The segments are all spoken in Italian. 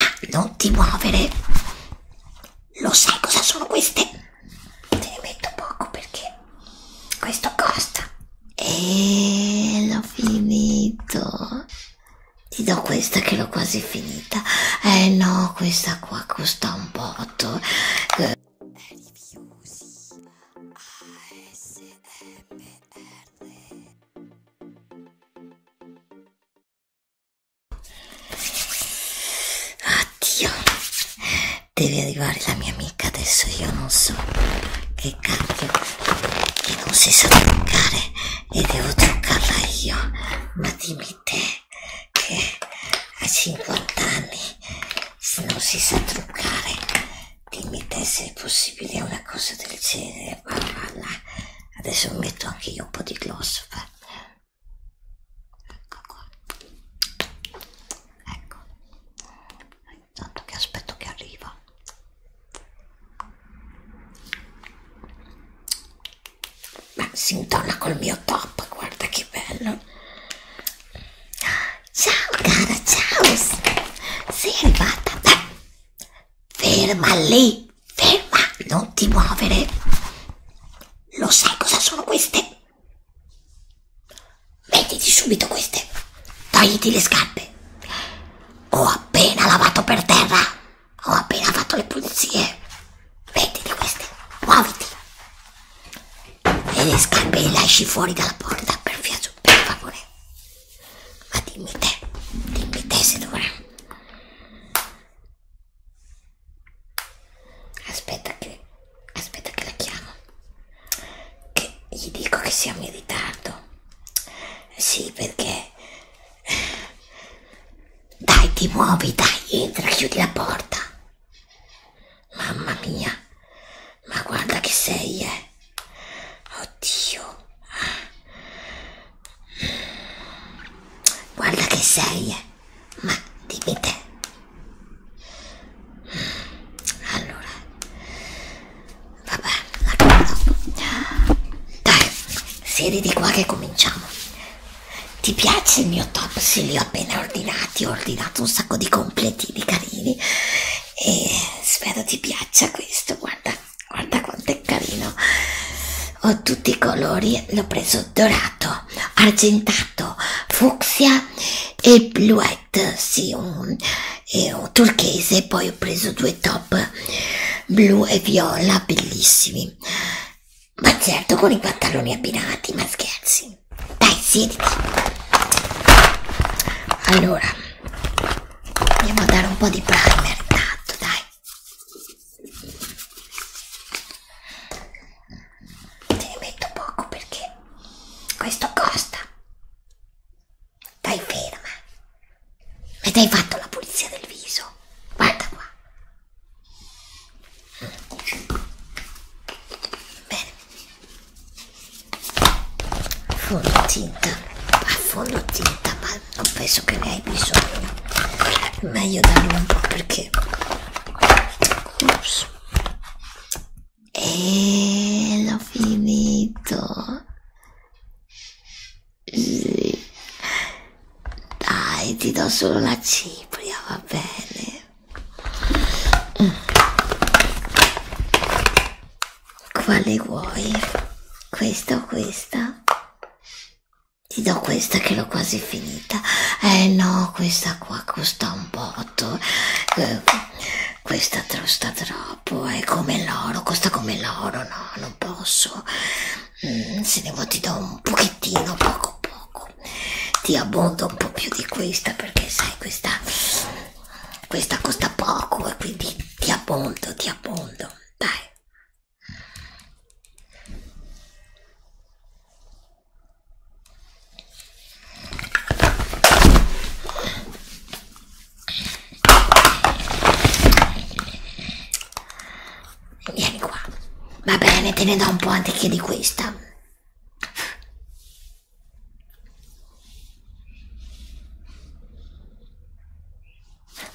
Ah, non ti muovere. Lo sai cosa sono queste? Te ne metto poco perché questo costa. E l'ho finito. Ti do questa che l'ho quasi finita. Eh no, questa qua costa un botto. Eh. Addio, deve arrivare la mia amica adesso, io non so che cacchio, che non si sa truccare e devo truccarla io, ma dimmi te che a 50 anni se non si sa truccare, dimmi te se è possibile una cosa del genere bene qua adesso metto anche io un po' di gloss eh. ecco qua ecco intanto che aspetto che arriva ma si intona col mio top guarda che bello ciao cara ciao sei arrivata ferma lì Fermati, ferma, non ti muovere. Lo sai cosa sono queste? Mettiti subito queste. Togliti le scarpe. Ho appena lavato per terra. Ho appena fatto le pulizie. Mettiti queste. Muoviti. E le scarpe le lasci fuori dalla porta per via per favore. Ma dimmi te, dimmi te se dovrà. Aspetta che, aspetta che la chiamo. Che gli dico che siamo in ritardo. Sì, perché... Dai, ti muovi, dai, entra, chiudi la porta. Mamma mia, ma guarda che sei, eh. Oddio. Guarda che sei, eh. ma dimmi te. Allora, vabbè, la guardo. Dai, siediti qua che cominciamo. Ti piace il mio top? Sì, li ho appena ordinati, ho ordinato un sacco di completini carini e spero ti piaccia questo, guarda guarda quanto è carino ho tutti i colori l'ho preso dorato argentato fucsia e bluette sì un, e un turchese poi ho preso due top blu e viola bellissimi ma certo con i pantaloni abbinati ma scherzi dai siediti allora Andiamo a dare un po' di primer intanto, dai. Te ne metto poco perché questo costa. Dai ferma. Ed hai fatto la pulizia del viso. Guarda qua. Bene fondotinta a fondotinta ma non penso che ne hai bisogno è meglio darlo un po' perché Ups. e l'ho finito sì. dai ti do solo la cipria va bene mm. Quale vuoi? Questa o questa? Ti do questa che l'ho quasi finita. Eh no, questa qua costa un botto. Eh, questa costa troppo, è come l'oro, costa come l'oro, no, non posso. Mm, se ne vuoi ti do un pochettino, poco poco. Ti abbondo un po' più di questa perché sai questa questa costa poco e eh, quindi ti abbondo, ti abbondo, dai. Vieni qua. Va bene, te ne do un po' anche di questa.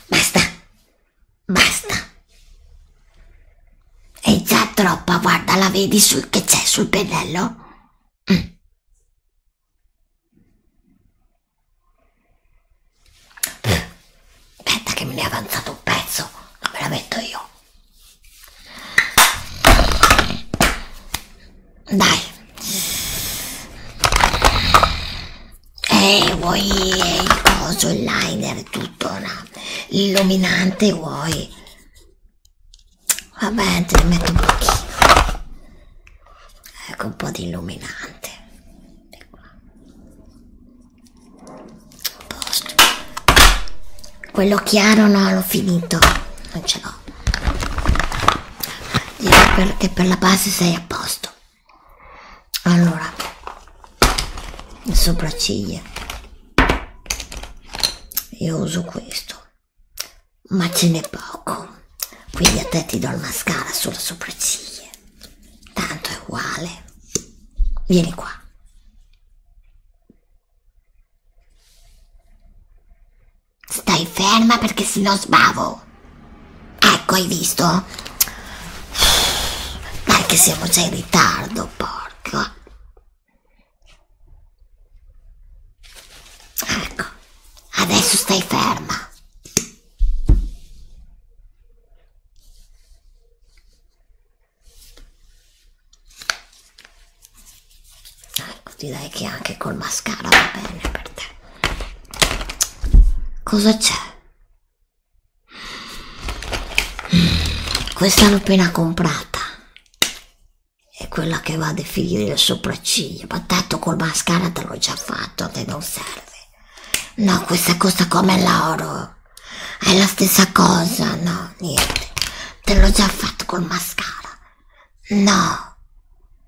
Basta, basta. È già troppa, guarda, la vedi sul che c'è sul pennello? Mm. Eh. Aspetta che me ne è avanzato un pezzo, non me la metto io. Dai. Eh, vuoi il coso, il liner, tutto, no? L'illuminante vuoi? Vabbè, te ne metto un pochino. Ecco, un po' di illuminante. Ecco Posto. Quello chiaro no, l'ho finito. Non ce l'ho direi per, che per la base sei a posto allora le sopracciglia io uso questo ma ce n'è poco quindi a te ti do il mascara sulle sopracciglia tanto è uguale vieni qua Stai ferma perché se no sbavo. Ecco, hai visto? Dai che siamo già in ritardo, porco. Ecco, adesso stai ferma. Ecco, direi che anche col mascara va bene per te. Cosa c'è? Questa l'ho appena comprata. È quella che va a definire le sopracciglia. Ma tanto col mascara te l'ho già fatto, te non serve. No, questa costa come l'oro. È la stessa cosa, no? No, niente. Te l'ho già fatto col mascara. No,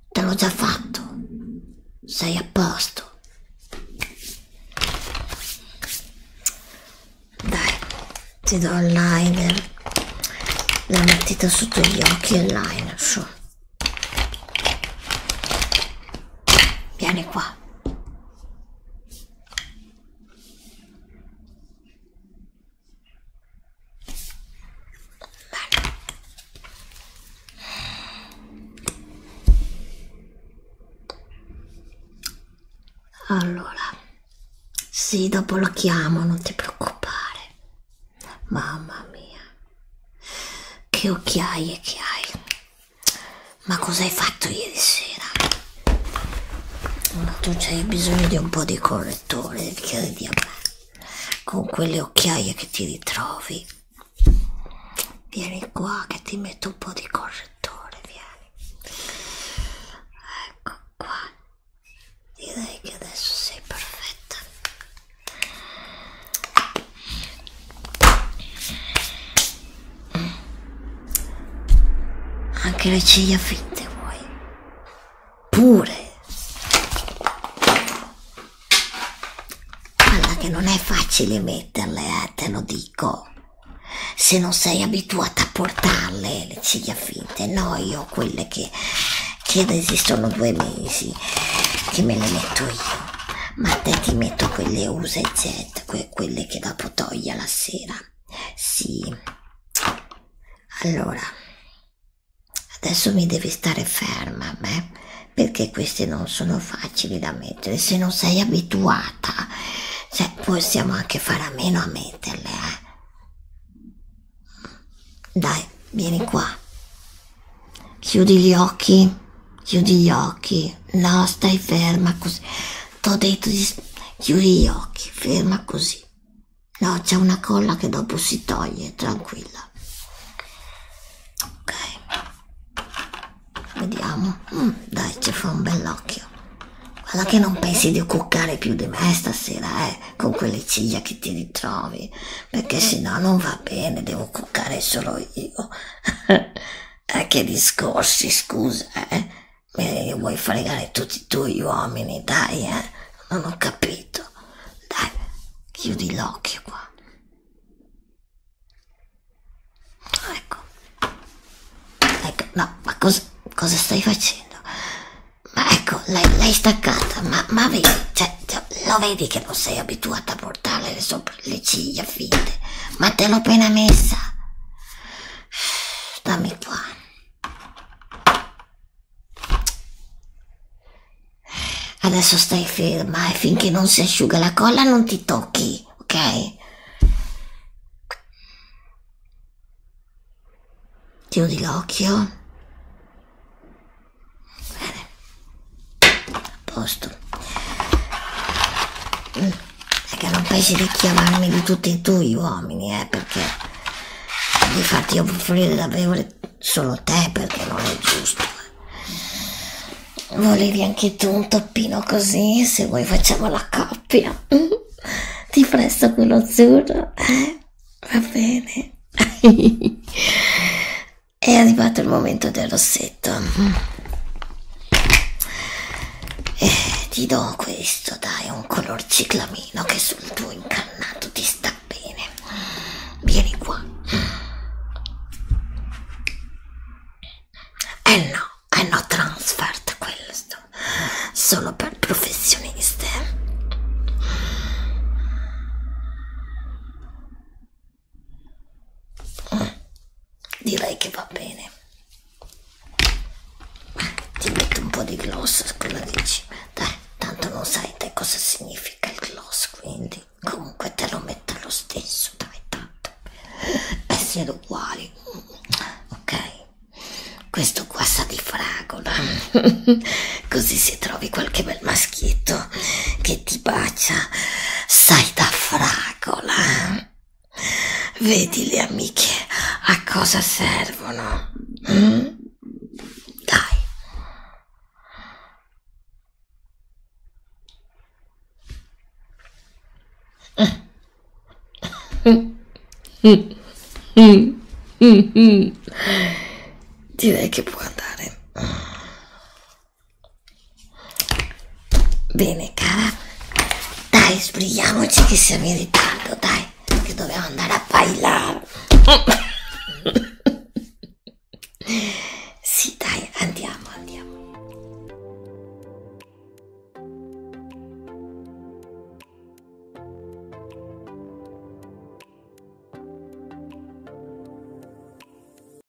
te l'ho già fatto. Sei a posto. Dai, ti do il liner. La matita sotto gli occhi e il liner, su. Vieni qua. Bello. Allora, sì, dopo lo chiamo, non ti preoccupare. Mamma mia, che occhiaie che hai. Ma cosa hai fatto ieri sera? ma tu hai bisogno di un po' di correttore chiedi a me con quelle occhiaie che ti ritrovi vieni qua che ti metto un po' di correttore vieni ecco qua direi che adesso sei perfetta Mm. Anche le ciglia fitte vuoi? Pure! Guarda che non è facile metterle, eh, te lo dico. Se non sei abituata a portarle le ciglia finte, no, io ho quelle che, che resistono due mesi, che me le metto io ma a te ti metto quelle usa e jet, que quelle che dopo toglia la sera. Sì. Allora, adesso mi devi stare ferma a me perché queste non sono facili da mettere. Se non sei abituata, cioè, possiamo anche fare a meno a metterle, eh. Dai, vieni qua. Chiudi gli occhi. Chiudi gli occhi. No, stai ferma così. T'ho detto di chiudi gli occhi, ferma così. No, c'è una colla che dopo si toglie, tranquilla. Ok. Vediamo. Mm, dai, ci fa un bell'occhio. Guarda che non pensi di cuccare più di me stasera, eh, con quelle ciglia che ti ritrovi, perché sennò non va bene, devo cuccare solo io. eh, che discorsi, scusa, eh. Mi eh, vuoi fregare tutti tu gli uomini, dai, eh? Non ho capito. Dai, chiudi l'occhio qua. Ecco. Ecco, no, ma cosa, cosa stai facendo? Ma ecco, l'hai staccata, ma, ma vedi, cioè, cioè, lo vedi che non sei abituata a portare le, sopra, le ciglia finte? Ma te l'ho appena messa. Dammi qua. Adesso stai ferma e finché non si asciuga la colla non ti tocchi, ok? Chiudi l'occhio. Bene. A posto. Mm è che non pensi di chiamarmi di tutti e due gli uomini, eh, perché di farti offrire da bevere solo te perché non è giusto. Eh. Volevi anche tu un toppino così, se vuoi facciamo la coppia. Ti presto quello azzurro, eh? Va bene. È arrivato il momento del rossetto detto eh, ti do questo dai un color ciclamino che sul tuo incannato ti sta bene vieni qua eh no eh no transfert quello sto. solo per professioniste eh. Mm, direi che va bene. Ti metto un po' di gloss, cosa dici? Dai, tanto non sai te cosa significa il gloss, quindi comunque te lo metto lo stesso, dai, tanto. Essere eh, uguali. Ok? Questo qua sa di fragola, così se trovi qualche bel maschietto che ti bacia, sai da fragola. Vedi le amiche a cosa servono. Mm? Dai. Direi che può andare. Bene, cara. Dai, sbrighiamoci che siamo in ritardo, dai, che dobbiamo andare a bailare. sì, dai, andiamo, andiamo.